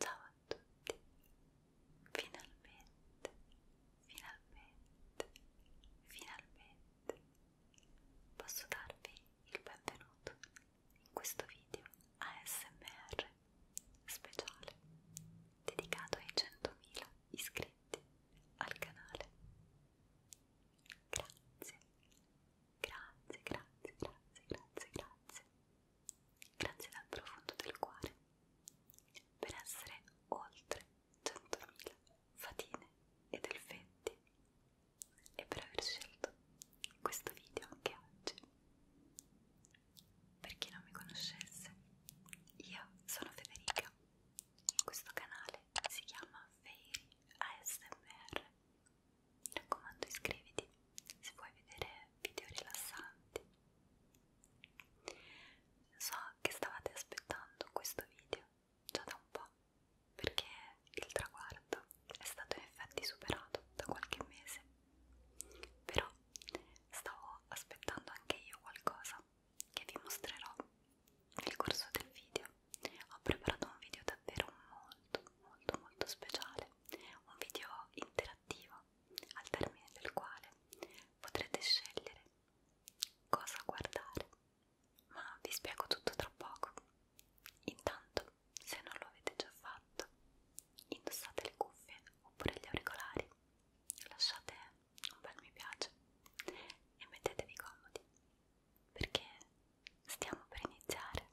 Ciao a tutti, finalmente, finalmente, finalmente posso darvi il benvenuto in questo video ASMR speciale dedicato ai 100.000 iscritti al canale. Grazie, grazie, grazie, grazie, grazie, grazie Grazie dal profondo del cuore per essere oltre 100.000 fatine ed elfetti e per aver scelto questo video anche oggi. Per chi non mi conoscesse, io sono Federica. Questo canale si chiama Fairy ASMR mi raccomando iscriviti se vuoi vedere video rilassanti. So che stavate aspettando questo video già da un po' perché il traguardo è stato in effetti superato da qualche mese. Però stavo aspettando anche io qualcosa che vi mostrerò nel corso del video ho preparato un video davvero molto molto molto speciale, un video interattivo al termine del quale potrete scegliere cosa guardare, ma vi spiego tutto tra poco. Intanto, se non lo avete già fatto, indossate le cuffie oppure gli auricolari, lasciate un bel mi piace e mettetevi comodi perché stiamo per iniziare.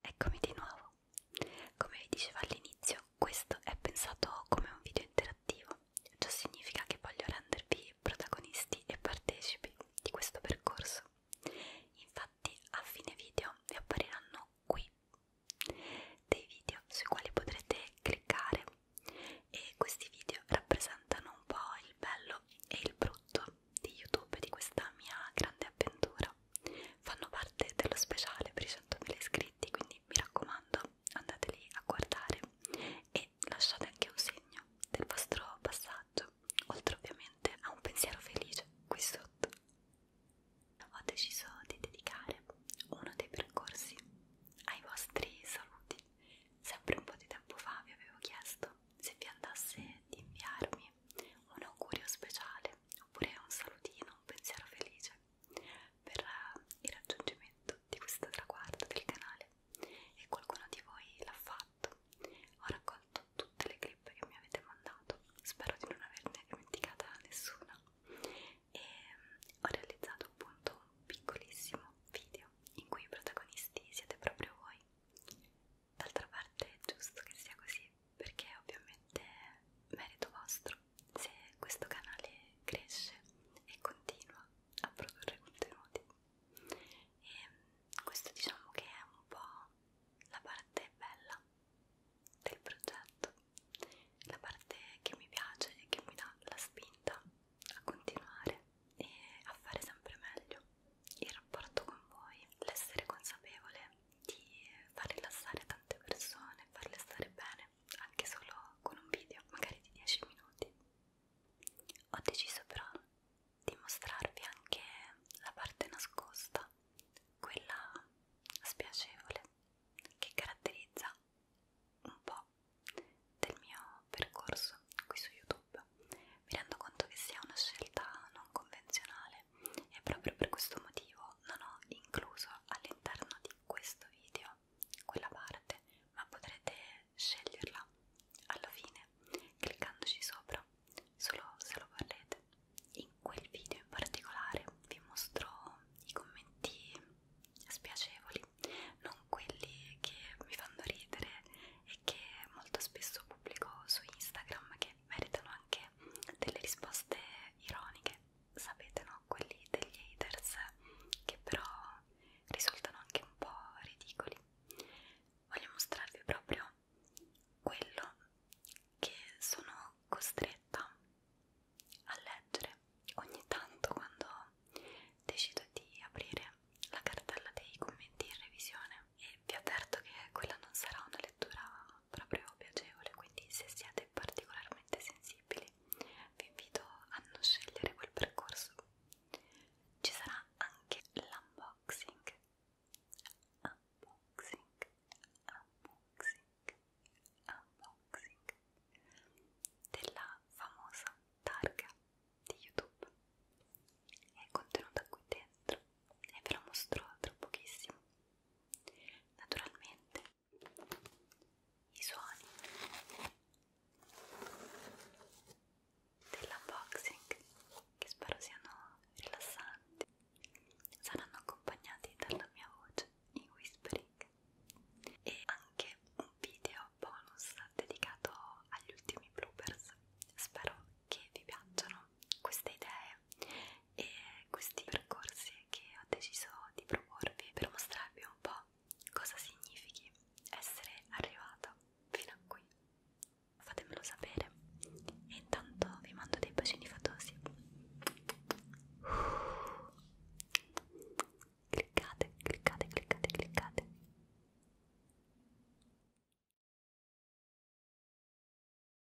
Eccomi di nuovo. Come vi dicevo all'inizio, questo è pensato come un video interattivo. Ciò significa che voglio rendervi protagonisti e partecipi di questo percorso. Infatti a fine video vi appariranno qui dei video sui quali potrete cliccare e questi video rappresentano un po' il bello e il brutto di YouTube di questa mia grande avventura. Fanno parte dello speciale per i 100.000 iscritti, quindi mi raccomando andateli a guardare e lasciate anche un segno del vostro passaggio oltre ovviamente a un pensiero felice qui sotto. Ho deciso di dedicare uno dei percorsi ai vostri saluti. Sempre un po' di tempo fa vi avevo chiesto se vi andasse di inviarmi un augurio speciale oppure un salutino, un pensiero felice per eh, il raggiungimento di questo traguardo del canale e qualcuno di voi l'ha fatto fatto. Ho raccolto tutte le clip che mi avete mandato, spero di non averne dimenticata nessuna. E mm, ho realizzato appunto un piccolissimo video in cui i protagonisti siete proprio voi. D'altra parte è giusto che sia così, perché ovviamente è merito vostro se questo canale cresce e continua a produrre contenuti e mm, questo diciamo che è un po' la parte bella del progetto la parte che mi piace e che mi dà la spinta a continuare e a fare sempre meglio il rapporto con voi l'essere consapevole di far rilassare tante persone farle stare bene anche solo con un video magari di 10 minuti ho deciso però di mostrarvi anche la parte nascosta, quella spiacevole che caratterizza un po' del mio percorso qui su YouTube. Mi rendo conto che sia una scelta non convenzionale e proprio per questo motivo non ho incluso all'interno di questo video quella parte, ma potrete sceglierla alla fine cliccandoci sopra, solo se lo vorrete. In quel video in particolare vi mostro i commenti spiacevoli, non quelli che mi fanno ridere e che molto spesso pubblico su Instagram che meritano anche delle risposte ironiche, sapete no? Quelli degli haters che però risultano anche un po' ridicoli. Voglio mostrarvi proprio quello che sono costretta a leggere ogni tanto quando decido di aprire la cartella dei commenti in revisione e vi avverto che quella non sarà una lettura proprio piacevole quindi se siete particolarmente sensibili vi invito a non scegliere quel percorso ci sarà anche l'unboxing unboxing unboxing unboxing della famosa targa di youtube è contenuta qui dentro e ve la mostro tra pochissimo naturalmente i suoni dell'unboxing che spero siano rilassanti saranno accompagnati dalla mia voce in whispering e anche un video bonus dedicato agli ultimi bloopers spero che vi piacciono queste idee e questi percorsi che ho deciso di proporvi per mostrarvi un po' cosa significhi essere arrivato fino a qui fatemelo sapere e intanto vi mando dei bacini fatosi cliccate cliccate cliccate cliccate